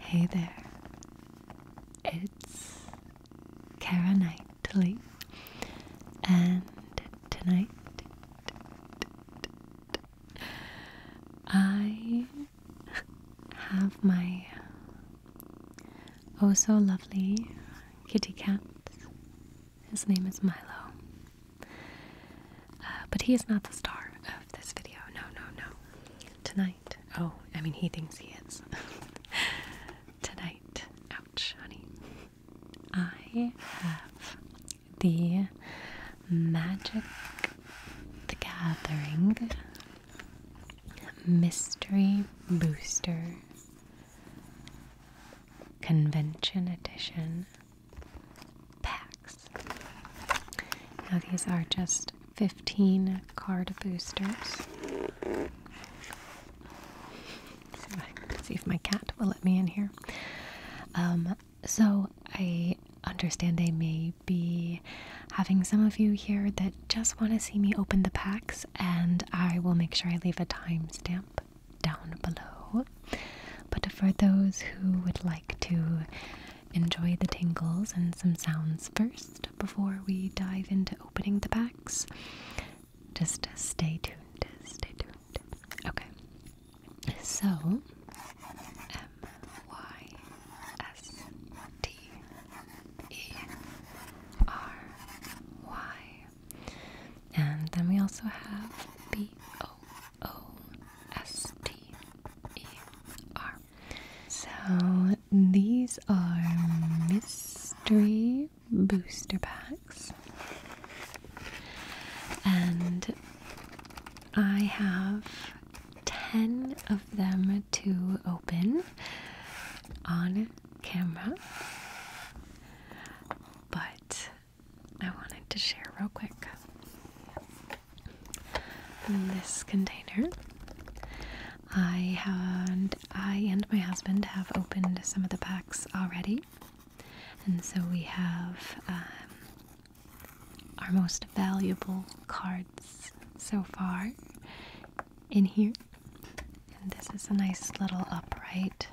Hey there, it's Kara Knightley, and tonight I have my oh so lovely kitty cat. His name is Milo, uh, but he is not the star of this video. No, no, no. Tonight. Oh, I mean, he thinks he is. Tonight. Ouch, honey. I have the Magic the Gathering Mystery Booster Convention Edition packs. Now, these are just 15 card boosters. See if, my cat will let me in here. Um, so, I understand I may be having some of you here that just want to see me open the packs, and I will make sure I leave a timestamp down below. But for those who would like to enjoy the tingles and some sounds first before we dive into opening the packs. Just stay tuned, stay tuned. Okay. So, M Y S T E R Y. And then we also have B O O-S-T-E-R. So these are mystery booster packs. And I have 10 of them to open on camera. But I wanted to share real quick. In this container, I had I and my husband have opened some of the packs already, and so we have um, our most valuable cards so far in here. And this is a nice little upright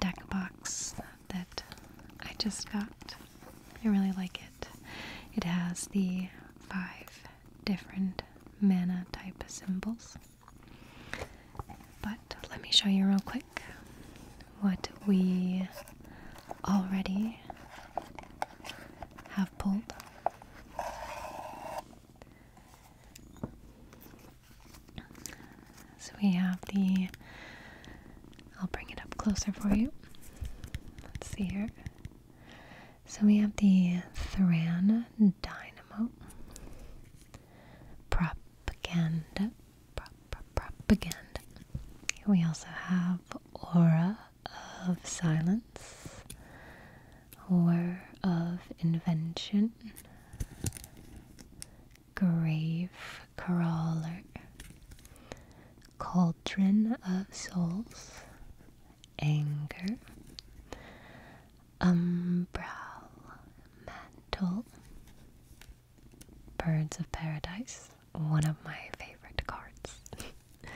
deck box that I just got. I really like it. It has the five different mana type symbols. But let me show you real quick what we already have pulled. So we have the I'll bring it up closer for you. Let's see here. So we have the Thran Dynamo. Propaganda. Pro -pro propaganda. We also have Aura of Silence. War of Invention. Grave crawler, cauldron of souls, anger, umbral, mantle, birds of paradise, one of my favorite cards.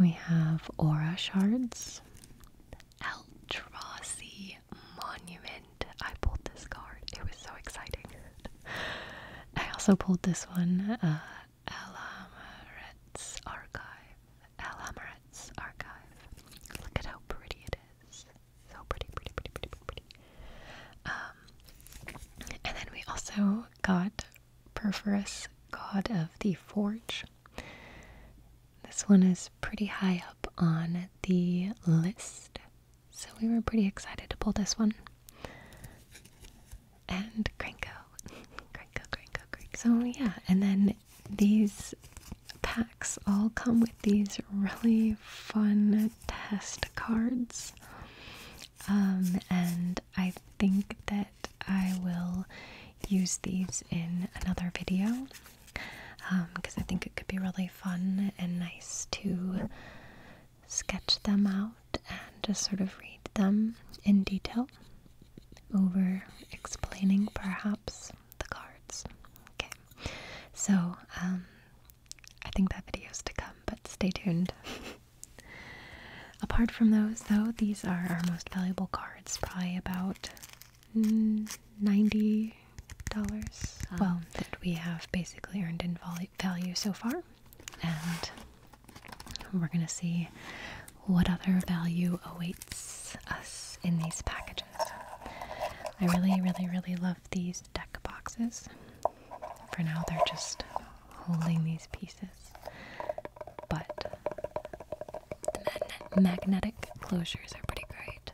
we have aura shards, Eldrazi monument. I pulled this card. It was so exciting. I also pulled this one, uh, Alamaret's Archive. Alamaret's Archive. Look at how pretty it is. So pretty, pretty, pretty, pretty, pretty. Um, and then we also got Perforus, God of the Forge. This one is pretty high up on the list. So we were pretty excited to pull this one. And Cranko. Cranko, Cranko, Cranko. So yeah, and then these packs all come with these really fun test cards. Um, and I think that I will use these in another video because um, I think it could be really fun and nice to sketch them out and just sort of read them in detail over explaining perhaps the cards. Okay, so um, I think that video is to come, but stay tuned. Apart from those, though, these are our most valuable cards, probably about $90. Ah. well, that we have basically earned in volume value so far, and we're going to see what other value awaits us in these packages. I really, really, really love these deck boxes. For now, they're just holding these pieces, but the magnetic closures are pretty great.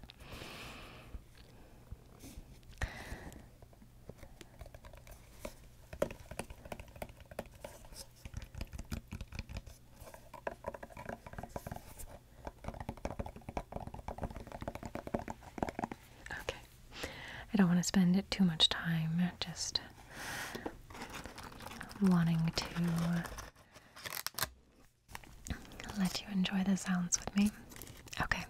Okay. I don't want to spend it too much time just wanting to let you enjoy the sounds with me. Okay.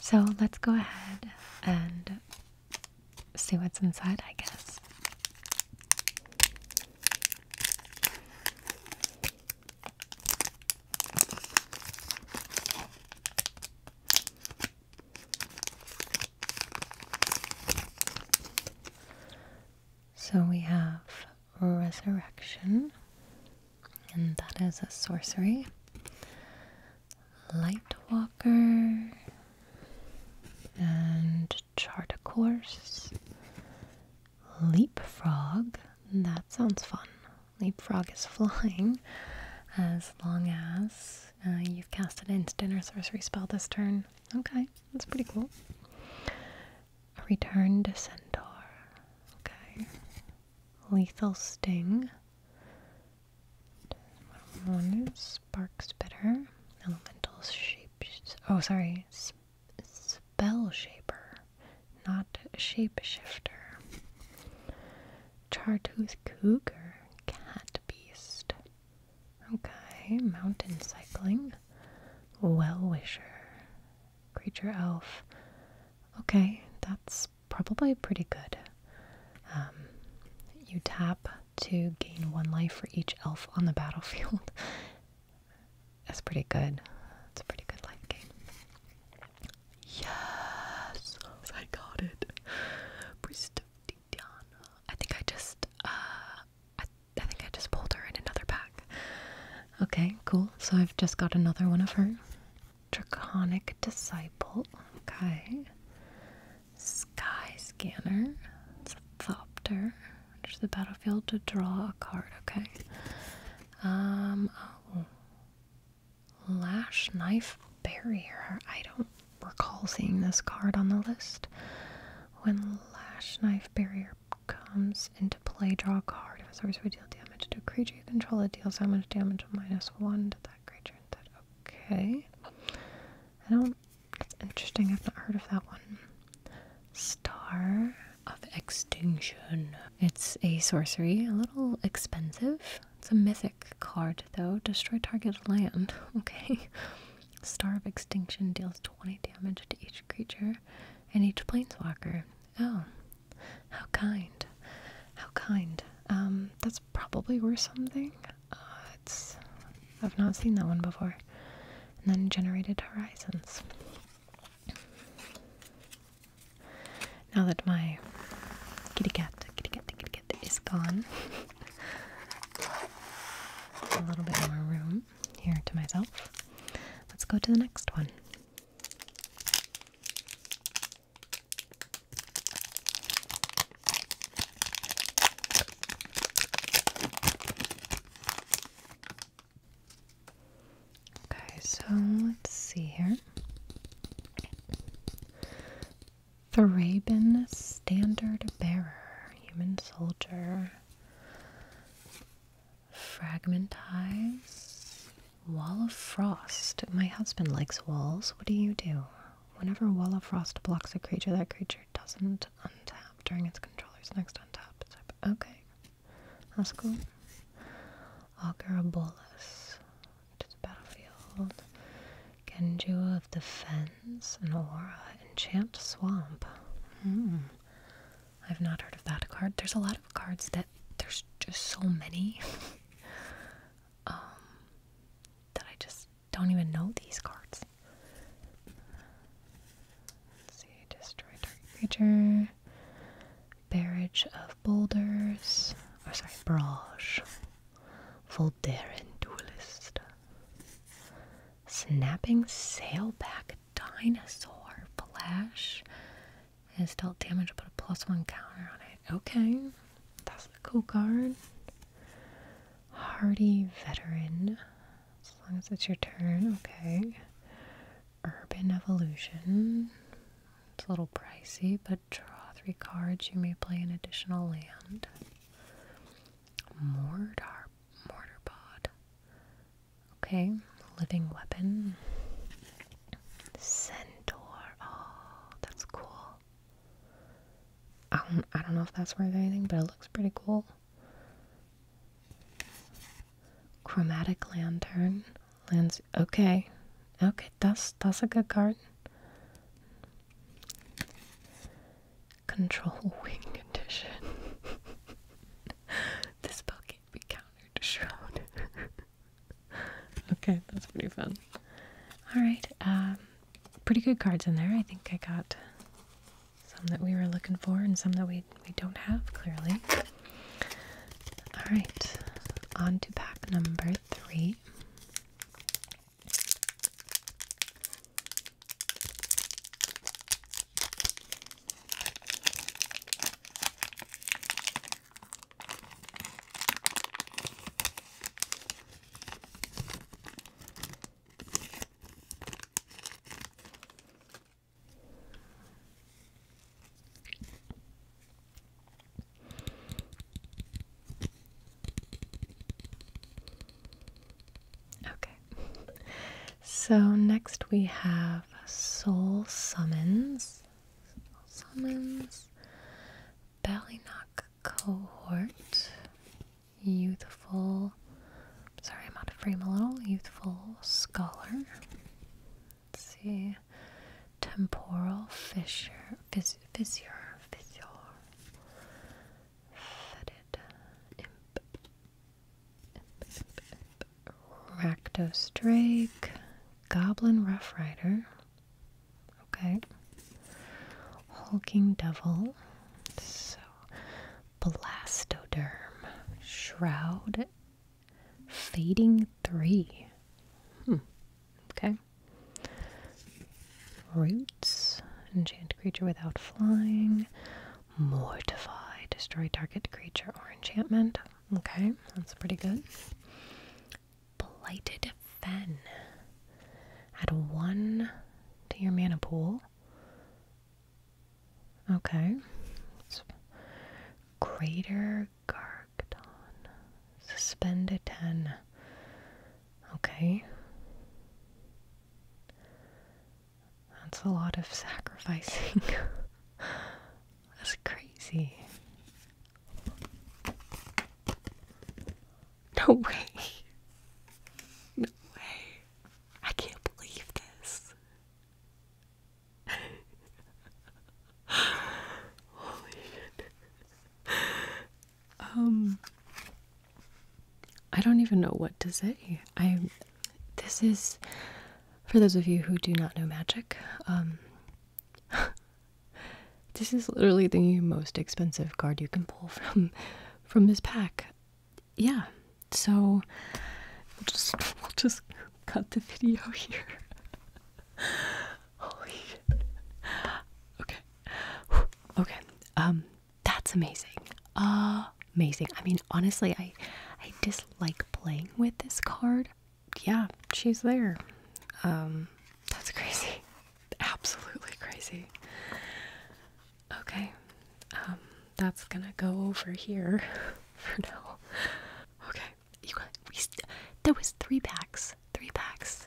So let's go ahead and see what's inside, I guess. So we have resurrection, and that is a sorcery light walker and chart a course leapfrog that sounds fun leapfrog is flying as long as uh, you've cast an instant or sorcery spell this turn okay that's pretty cool return to centaur okay lethal sting one sparks better. Elemental shape. Oh, sorry. spell shaper, not shapeshifter. Chartooth cougar, cat beast. Okay, mountain cycling. Well wisher, creature elf. Okay, that's probably pretty good. Um, you tap to gain one life for each elf on the battlefield. That's pretty good. It's a pretty good life game. Yes! I got it. Priest I think I just, uh, I think I just pulled her in another pack. Okay, cool. So I've just got another one of her. Draconic Disciple. Okay. Sky Scanner. It's a Thopter. is the battlefield to draw a card. Okay. Um. Oh. Lash Knife Barrier. I don't recall seeing this card on the list. When Lash Knife Barrier comes into play, draw a card. If a sorcery deal damage to a creature you control, it deals how much damage minus one to that creature. That Okay. I don't. It's interesting. I've not heard of that one. Star of Extinction. It's a sorcery. A little expensive. It's a mythic card, though. Destroy target land. Okay. Star of Extinction deals 20 damage to each creature and each planeswalker. Oh. How kind. How kind. Um, that's probably worth something. Uh, I've not seen that one before. And then generated horizons. Now that my kitty cat, kitty cat, kitty cat is gone, a little bit more room here to myself. Let's go to the next one. Okay, so let's see here. The Rabin Standard Bearer, Human Soldier, Fragmentize, Wall of Frost. My husband likes walls. What do you do? Whenever Wall of Frost blocks a creature, that creature doesn't untap during its controller's next untap step. Okay. That's cool. Agarabolus to the battlefield. Genju of Defense, Fens and Aura. Enchant Swamp. Hmm. I've not heard of that card. There's a lot of cards that there's just so many. Um, that I just don't even know these cards. see, destroy dark creature, barrage of boulders, or sorry, barrage, Voldaren duelist, snapping sailback dinosaur, flash, is dealt damage, I'll put a plus one counter on it. Okay, that's a cool card. Hardy Veteran. As long as it's your turn, okay. Urban Evolution. It's a little pricey, but draw three cards. You may play an additional land. Mortar, mortar Okay, living weapon. Centaur. Oh, that's cool. I um, don't, I don't know if that's worth anything, but it looks pretty cool. Chromatic lantern. Lens okay. Okay, that's that's a good card. Control wing condition. this spell can't be countered shroud. okay, that's pretty fun. Alright, um, pretty good cards in there. I think I got some that we were looking for and some that we, we don't have, clearly. Alright, on to pack number three. Okay. So next we have Soul Summons. Soul Summons. Ballynock cohort. Youthful. Sorry, I'm out of frame a little. Youthful scholar. Let's see. Temporal fissure. Fissure. Fissure. Fetid. Imp. Imp, imp, imp. Rakdos Drake. Goblin Rough Rider. Okay. Hulking Devil. So, Blastoderm. Shroud. Fading 3. Hmm. Okay. Roots. Enchant creature without flying. Mortify. Destroy target creature or enchantment. Okay, that's pretty good. Blighted Fen. Add one to your mana pool. Okay. Greater Gargadon. suspended 10. Okay. That's a lot of sacrificing. That's crazy. No way. No way. I can't believe this. Holy shit. Um I don't even know what to say. I this is for those of you who do not know magic, um This is literally the most expensive card you can pull from from this pack. Yeah. So we'll just we'll just cut the video here. Holy Okay. Okay. Um that's amazing. Ah, amazing. I mean honestly I I dislike playing with this card. Yeah, she's there. Um that's crazy absolutely crazy. Okay, um, that's gonna go over here for now. Okay, you got we. there was three packs, three packs.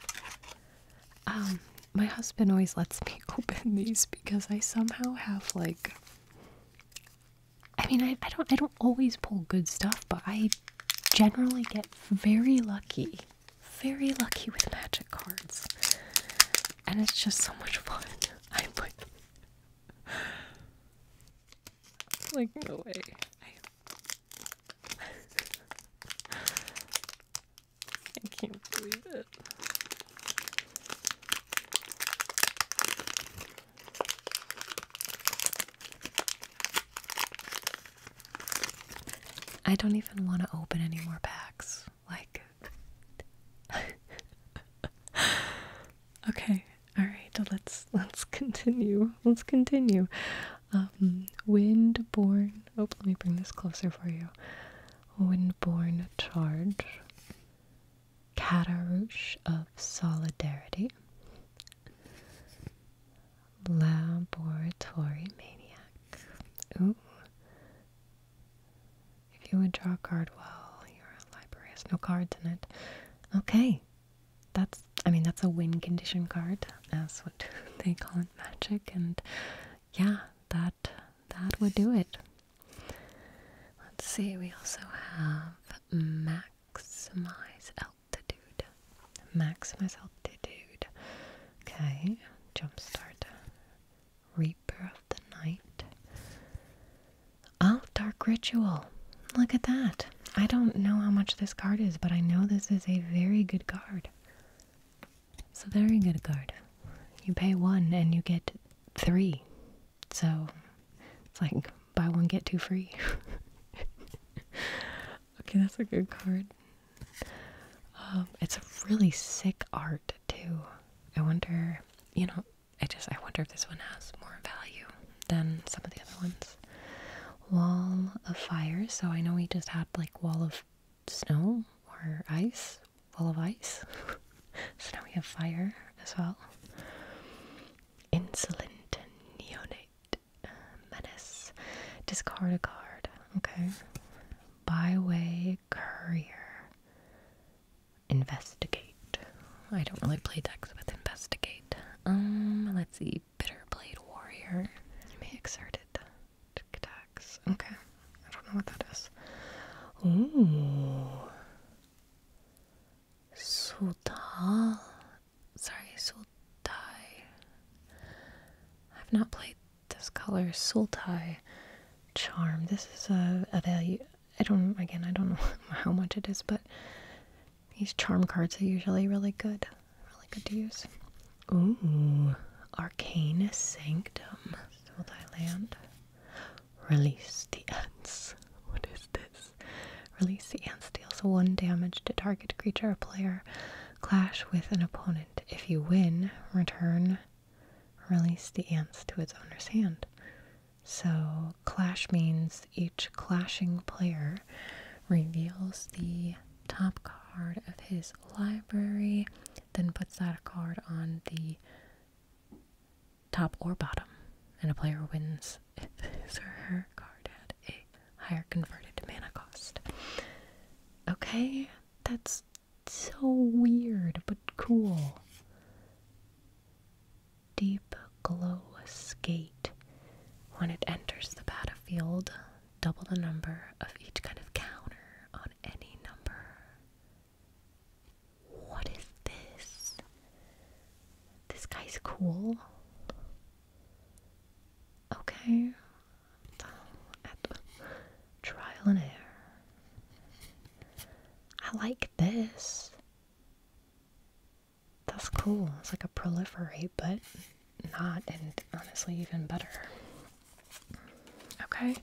Um, my husband always lets me open these because I somehow have like. I mean, I, I don't I don't always pull good stuff, but I generally get very lucky very lucky with magic cards. And it's just so much fun. I'm like like no way. I I can't believe it. I don't even want to open any more packs. Like, okay, all right. Let's let's continue. Let's continue. Um, windborne. Oh, let me bring this closer for you. Windborne charge. Catarouche of solidarity. Laboratory maniac. Ooh. If you would draw a card well, your library has no cards in it. Okay. That's, I mean, that's a win condition card. That's what they call it, magic. And yeah, that, that would do it. Let's see, we also have maximize altitude. Maximize altitude. Okay, Jumpstart. Reaper of the Night. Oh, Dark Ritual. Look at that. I don't know how much this card is, but I know this is a very good card. It's a very good card. You pay one and you get three. So it's like buy one, get two free. okay, that's a good card. Um, it's a really sick art too. I wonder, you know, I just I wonder if this one has more value than some of the other ones. Wall of fire. So I know we just had like wall of snow or ice, wall of ice. so now we have fire as well. Insolent neonate uh, menace. Discard a card. Okay. Byway Courier. Investigate. I don't really play decks with investigate. Um, let's see. Bitter blade Warrior. You may exert it. Tic Okay. I don't know what that is. Ooh. Sultal. Sorry, Sultai. I've not played this color Sultai charm. This is a, value. I don't again. I don't know how much it is, but these charm cards are usually really good. Really good to use. Ooh, Arcane Sanctum, Sultai land. Release the ants. What is this? Release the ants deals one damage to target creature or player. Clash with an opponent. If you win, return release the ants to its owner's hand. So, clash means each clashing player reveals the top card of his library, then puts that card on the top or bottom, and a player wins if his or her card had a higher converted mana cost. Okay, that's so weird, but cool. Deep glow skate. When it enters the battlefield, double the number of each kind of counter on any number. What is this? This guy's cool. Okay, trial and error. I like this. That's cool. It's like a proliferate, but not, and honestly, even better. Okay,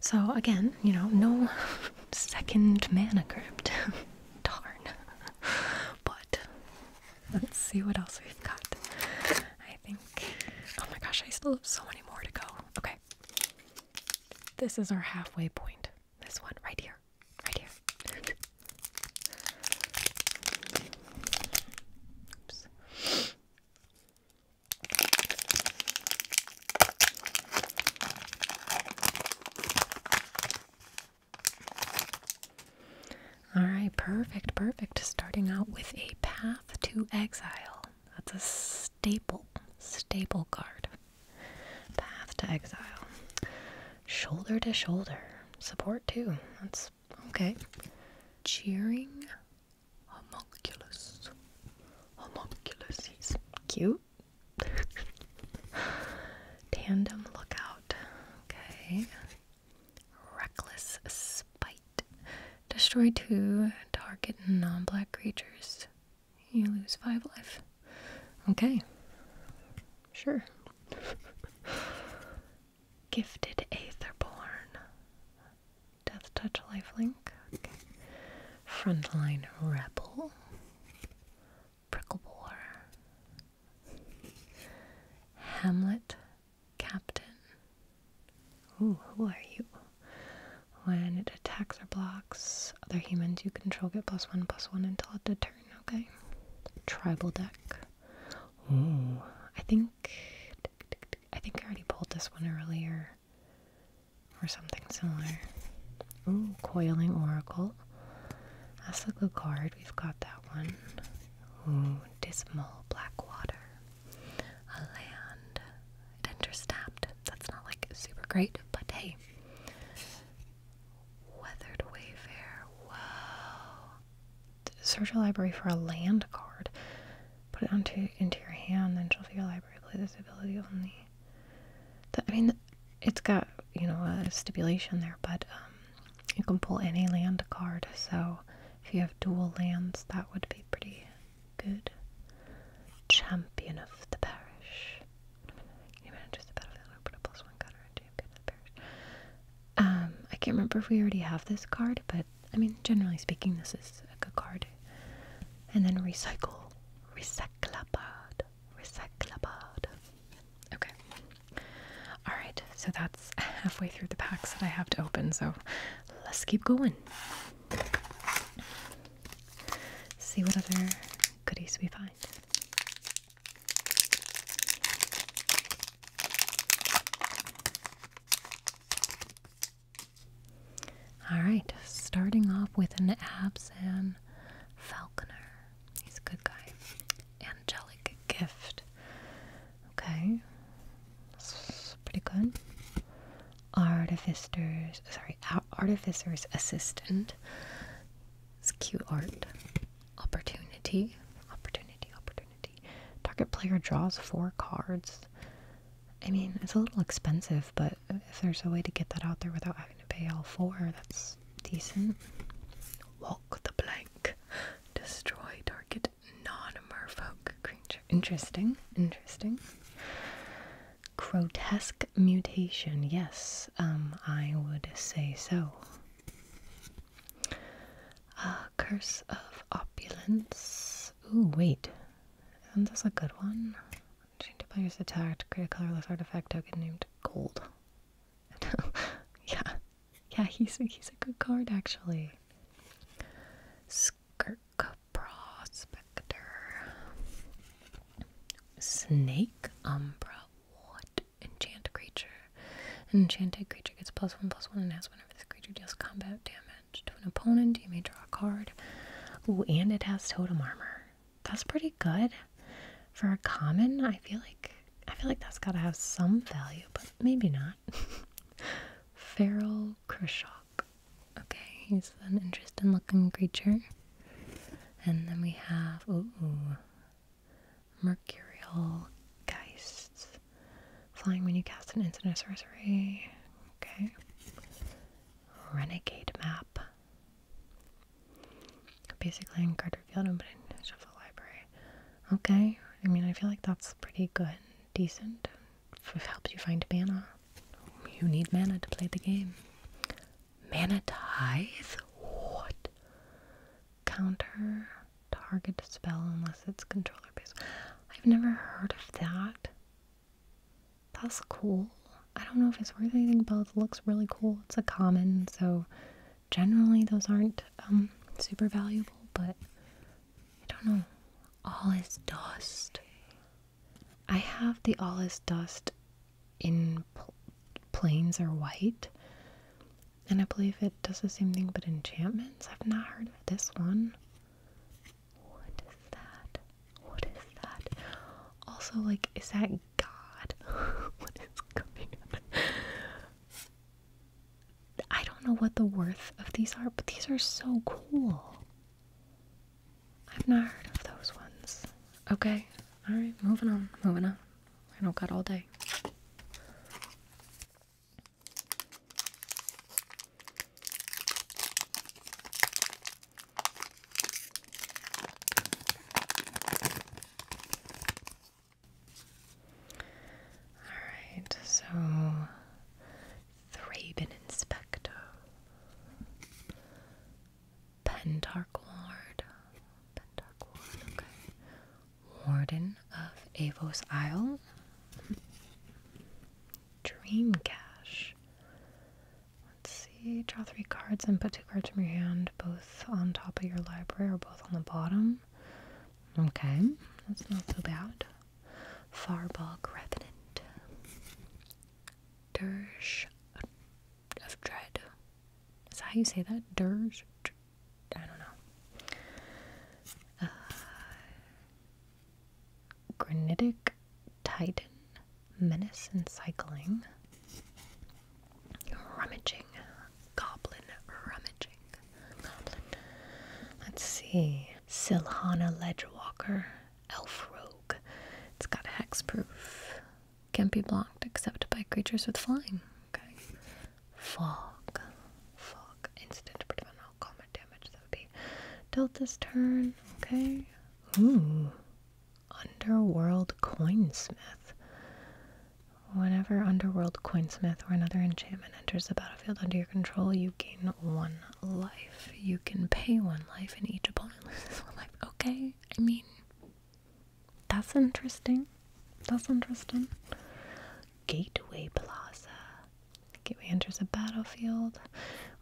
so again, you know, no second mana crypt. Darn. But let's see what else we've got. I think. Oh my gosh, I still have so many more to go. Okay. This is our halfway point. This one, right here. Right here. Oops. All right, perfect, perfect. Starting out with a path to exile. That's a staple, staple card. Path to Exile. Shoulder to shoulder. Support too. That's okay. Cheering homunculus. Homunculus. He's cute. Tandem lookout. Okay. Reckless spike. Destroy two target non black creatures. You lose five life. Okay. Sure. Gifted Aetherborn. Death Touch Lifelink. Okay. Frontline Rebel. Pricklebore. Hamlet captain. Ooh, who are you? When it attacks or blocks other humans you control, get plus one plus one until end of turn. Okay. Tribal deck. Ooh, I think I think I already pulled this one earlier, or something similar. Ooh, coiling oracle. That's a good card. We've got that one. Ooh, dismal black water a land. It interstabbed. That's not like super great, but hey. Weathered Wayfair. Search a library for a land card. Put it onto into your hand, then shuffle your library. Play this ability only. The, I mean, it's got you know a stipulation there, but um, you can pull any land card. So if you have dual lands, that would be pretty good champion of the parish. He manages the battlefield and put a plus one card on a champion of the parish. Um, I can't remember if we already have this card, but I mean, generally speaking, this is a good card. And then recycle. Recyclabad. Recyclabad. Okay. Alright, so that's halfway through the packs that I have to open, so let's keep going. See what other goodies we find. Alright, starting off with an Absan Falconer. He's a good guy. Angelic gift. Okay pretty good. Artificers, sorry, artificer's assistant. It's cute art. Opportunity, opportunity, opportunity. Target player draws four cards. I mean, it's a little expensive, but if there's a way to get that out there without having to pay all four, that's decent. Walk the blank. Destroy target non not creature. Interesting, interesting. Grotesque mutation, yes, um, I would say so. Uh, Curse of Opulence. Ooh, wait. and not this a good one? Change the player's attacked. Create a colorless artifact token named Gold. yeah. Yeah, he's he's a good card, actually. Skirt prospector. Snake umbra. What? Enchant creature. enchanted creature gets plus one plus one and has whenever this creature deals combat damage to an opponent, you may draw a card. Ooh, and it has totem armor. That's pretty good. For a common, I feel like I feel like that's gotta have some value, but maybe not. Feral Krishaw. Okay, he's an interesting looking creature. And then we have, ooh, mercurial geists. Flying when you cast an instant sorcery. Okay. Renegade map. Basically I in Carter Field, but in Shuffle Library. Okay, I mean, I feel like that's pretty good, decent. It helps you find mana. You need mana to play the game. Mana tithe? What? Counter target spell unless it's controller based. I've never heard of that. That's cool. I don't know if it's worth anything, but looks really cool. It's a common, so generally those aren't um, super valuable, but I don't know. All is dust. I have the Allus Dust in pl plains or white, and I believe it does the same thing but enchantments. I've not heard of this one. What is that? What is that? Also, like, is that God? what is coming up? I don't know what the worth of these are, but these are so cool. I've not heard of those ones. Okay, alright, moving on, moving on. I don't got all day. Alright, so Thraben Inspector, Pentarch Ward, Warden of Avos Isle, Dream Cache. Let's see, draw three cards and put two cards from your hand, both on top of your library or both on the bottom. Okay, that's not so bad. Farbog Revenant, Dirge of Dread. Is that how you say that? Dirge? I don't know. Uh, granitic Titan. Menace and Rummaging. Goblin Rummaging. Goblin. Let's see. Silhana Ledgewalker. Elf Rogue. It's got hexproof. Can't be blocked except by creatures with flying. Okay. Fog. Fog. Instant prevent all combat damage. That would be dealt turn. Okay. Ooh. Underworld Coinsmith. Whenever Underworld Coinsmith or another enchantment enters the battlefield under your control, you gain one life. You can pay one life and each opponent loses one life. Okay, I mean, that's interesting. That's interesting. Gateway Plaza. Gateway enters a battlefield.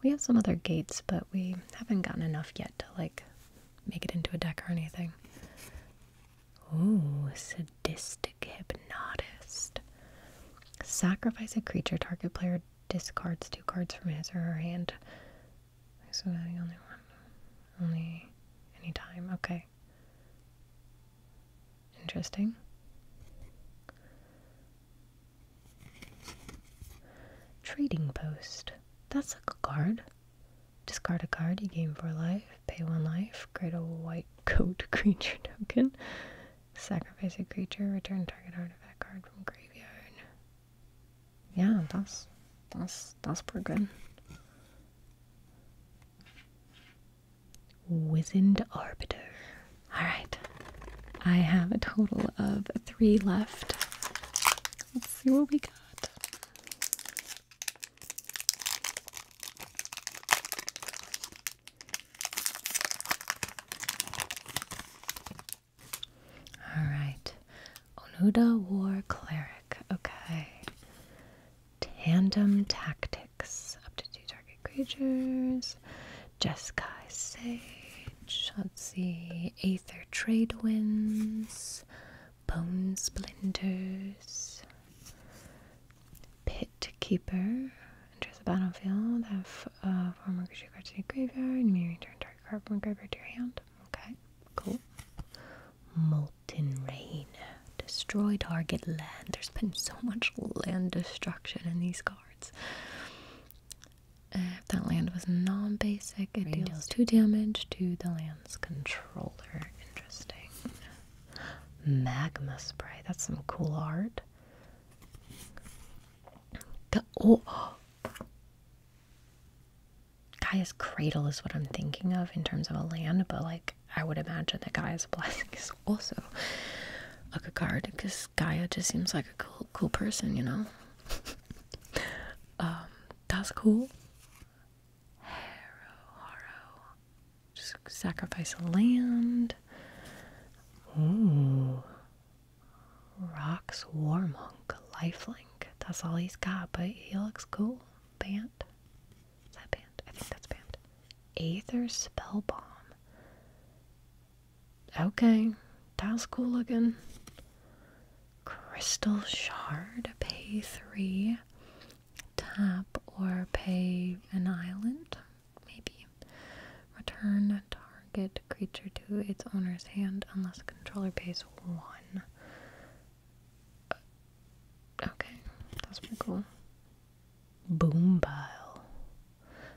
We have some other gates, but we haven't gotten enough yet to like make it into a deck or anything. Ooh, sadistic hypnotist. Sacrifice a creature target player discards two cards from his or her hand. So the only one. Only any time. Okay. Interesting. Trading Post. That's a card. Discard a card you gain for life, pay one life, create a white coat creature token, Sacrifice a creature, return target artifact card from graveyard. Yeah, that's that's that's pretty good. Wizened Arbiter. Alright. I have a total of three left. Let's see what we got. Alright. Onuda War Cleric. Okay. Tandem Tactics. Up to two target creatures. Jeskai Sage. Let's see. Aether Trade Winds. Bone Splinters. Pit Keeper. Enters the battlefield. Have uh, to the graveyard. May return target card from graveyard to your hand. Okay, cool. Molten Rain. Destroy target land. There's been so much land destruction in these cards. if that land was non basic, it deals, two damage to the land's controller. Interesting. Magma Spray. That's some cool art. oh, Gaia's cradle is what I'm thinking of in terms of a land, but like I would imagine that Gaia's blessing is also a card because Gaia just seems like a cool, cool person, you know. Um, that's cool. Just sacrifice a land. Rocks War Monk, lifelink. That's all he's got, but he looks cool. Bant. Is that Bant? I think that's Bant. Aether Spell Bomb. Okay, that's cool looking. Crystal Shard, pay three. Tap or pay an island, maybe. Return a target creature to its owner's hand unless the controller pays one. Okay, that's pretty cool. Boom pile.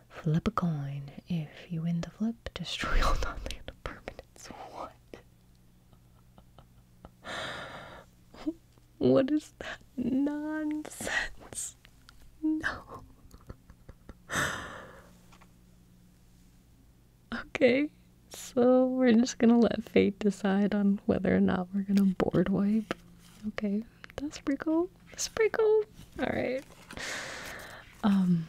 Flip a coin. If you win the flip, destroy all non permanents. What? what is that nonsense? No. Okay, so we're just gonna let fate decide on whether or not we're gonna board wipe. Okay, that's pretty cool. That's pretty cool. Alright. Um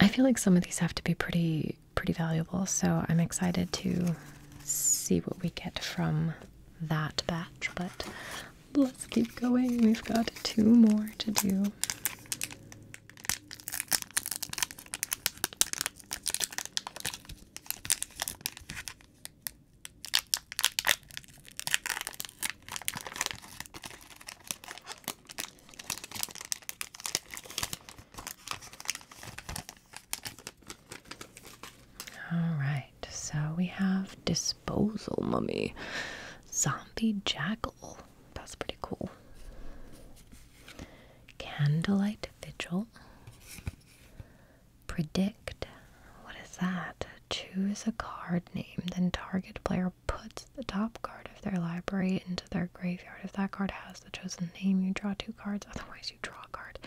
I feel like some of these have to be pretty pretty valuable, so I'm excited to see what we get from that batch, but Let's keep going. We've got two more to do. All right, so we have dis disposal mummy. Zombie jackal. That's pretty cool. Candlelight vigil. Predict. What is that? Choose a card name, then target player puts the top card of their library into their graveyard. If that card has the chosen name, you draw two cards, otherwise, you draw a card.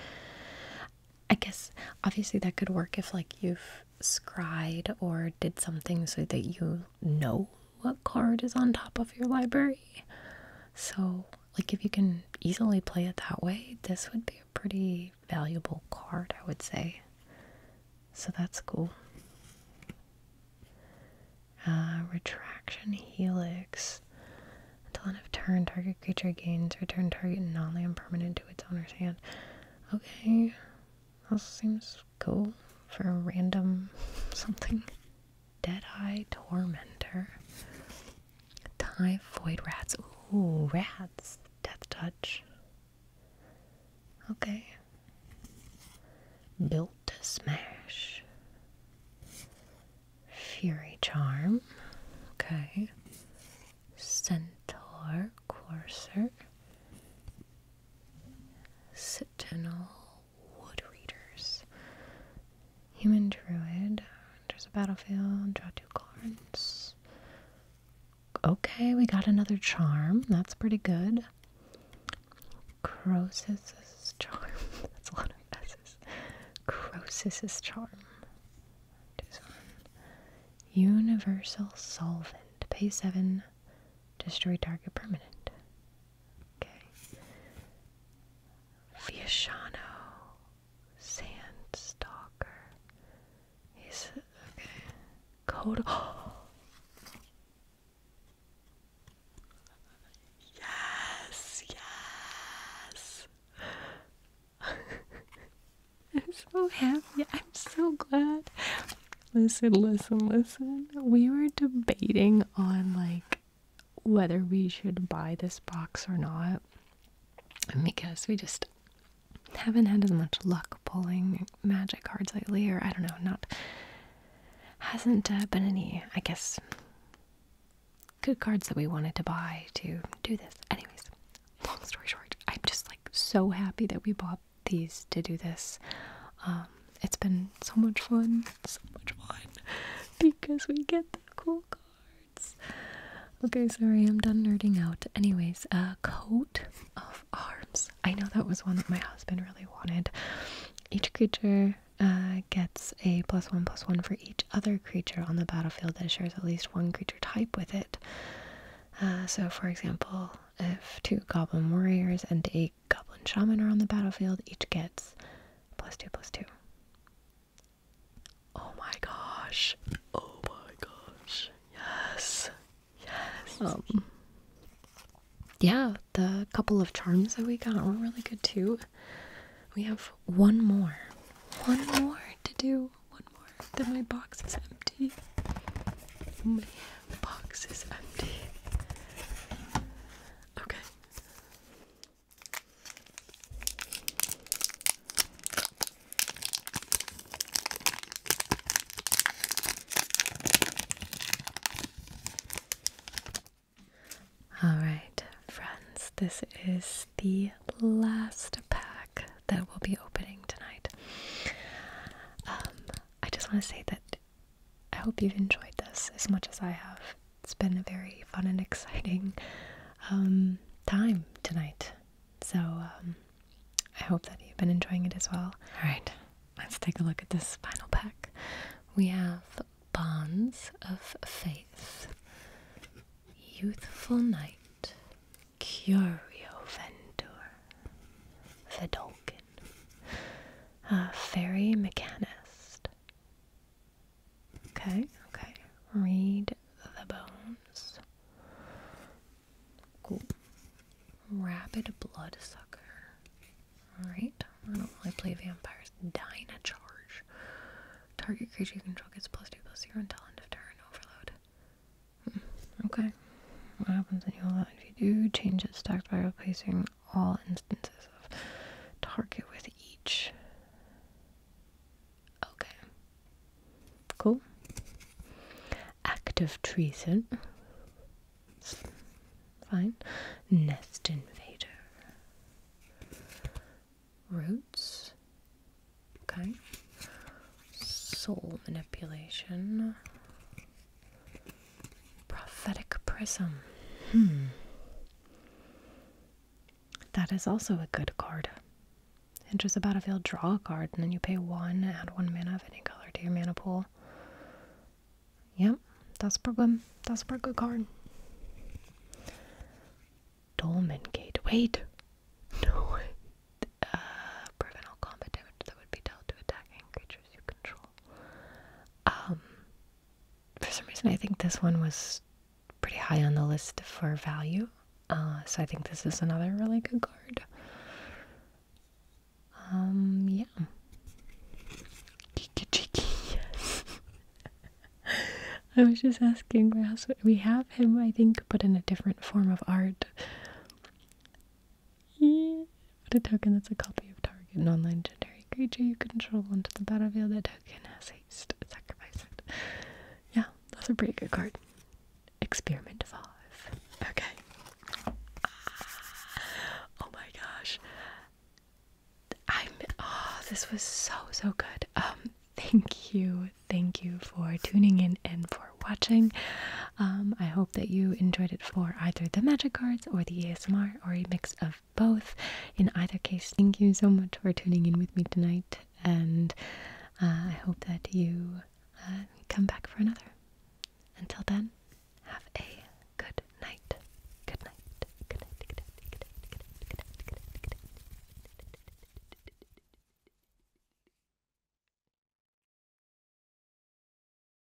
I guess obviously that could work if, like, you've scried or did something so that you know what card is on top of your library. So, like, if you can easily play it that way, this would be a pretty valuable card, I would say. So, that's cool. Uh, retraction Helix. Until end of turn, target creature gains. Return target non land permanent to its owner's hand. Okay. That seems go for a random something. Deadeye Tormentor. Typhoid rats. Ooh, rats. Death touch. Okay. Built to smash. Fury charm. Okay. Centaur courser. Sentinel Wood Readers. Human Druid. There's a battlefield. Draw two cards. Okay, we got another charm. That's pretty good. Croesus's charm. That's a lot of S's. Croesus's charm. Universal solvent. Pay seven. Destroy target permanent. Okay. Sand Stalker. He's okay. Code. yes, yes. I'm so happy. I'm so glad. Listen, listen, listen. We were debating on like whether we should buy this box or not because we just haven't had as much luck pulling magic cards lately, or I don't know, not hasn't uh, been any, I guess, good cards that we wanted to buy to do this. Anyways, long story short, I'm just like so happy that we bought these to do this. Um, it's been so much fun, so much fun, because we get the cool cards. Okay, sorry, I'm done nerding out. Anyways, a coat of arms. I know that was one that my husband really wanted. Each creature uh, gets a plus one plus one for each other creature on the battlefield that shares at least one creature type with it. Uh, so, for example, if two goblin warriors and a goblin shaman are on the battlefield, each gets plus two plus two. Oh my gosh. Oh my gosh. Yes. Yes. Um, yeah, the couple of charms that we got were really good too. We have one more. One more to do. One more. Then my box is empty. Oh man. The box is empty. Okay. All right, friends, this is the last pack that we'll be opening tonight. Um, I just want to say that I hope you've enjoyed this as much as I have. It's been a very fun and exciting um, time tonight. So um, I hope that you've been enjoying it as well. All right, let's take a look at this final pack. We have Bonds of Faith, Youthful Knight, Curio Ventur, Vidolkin, uh, fairy mechanist. Okay, okay. Read the bones. Cool. Rabid bloodsucker. Alright, I don't really play vampires. Dying charge. Target creature you control gets plus two plus zero until end of turn. Overload. Hmm, okay. What happens if you do change its stack by replacing all instances of target with each? Okay. Cool. Act of treason. fine. Nest invader. Roots. Okay. Soul manipulation. Prophetic prism. Hmm. That is also a good card. And just about the battlefield, draw a card, and then you pay one, add one mana of any color to your mana pool. Yep, that's a problem. That's a pretty good card. Dolmen Gate. Wait! No, uh, prevent all combat damage that would be dealt to attacking creature um, for some reason, I think this one was pretty high on the list for value, uh, so I think this is another really good card. Um, yeah. yes. I was just asking we have him, I think, but in a different form of art. What a token that's a copy of target an online legendary creature you control onto the battlefield. That token has haste. Sacrifice it. Yeah, that's a pretty good card. Experiment five. Okay. Ah, oh my gosh. I'm oh, this was so so good. Um thank you. Thank you for tuning in and for watching. Um I hope that you enjoyed it for either the magic cards or the ASMR or a mix of both. In either case, thank you so much for tuning in with me tonight, and uh, I hope that you uh, come back for another. Until then, have a good night. Good night. Good night. Good night. Good night. Good night. Good night. Good night. Good night. Good night.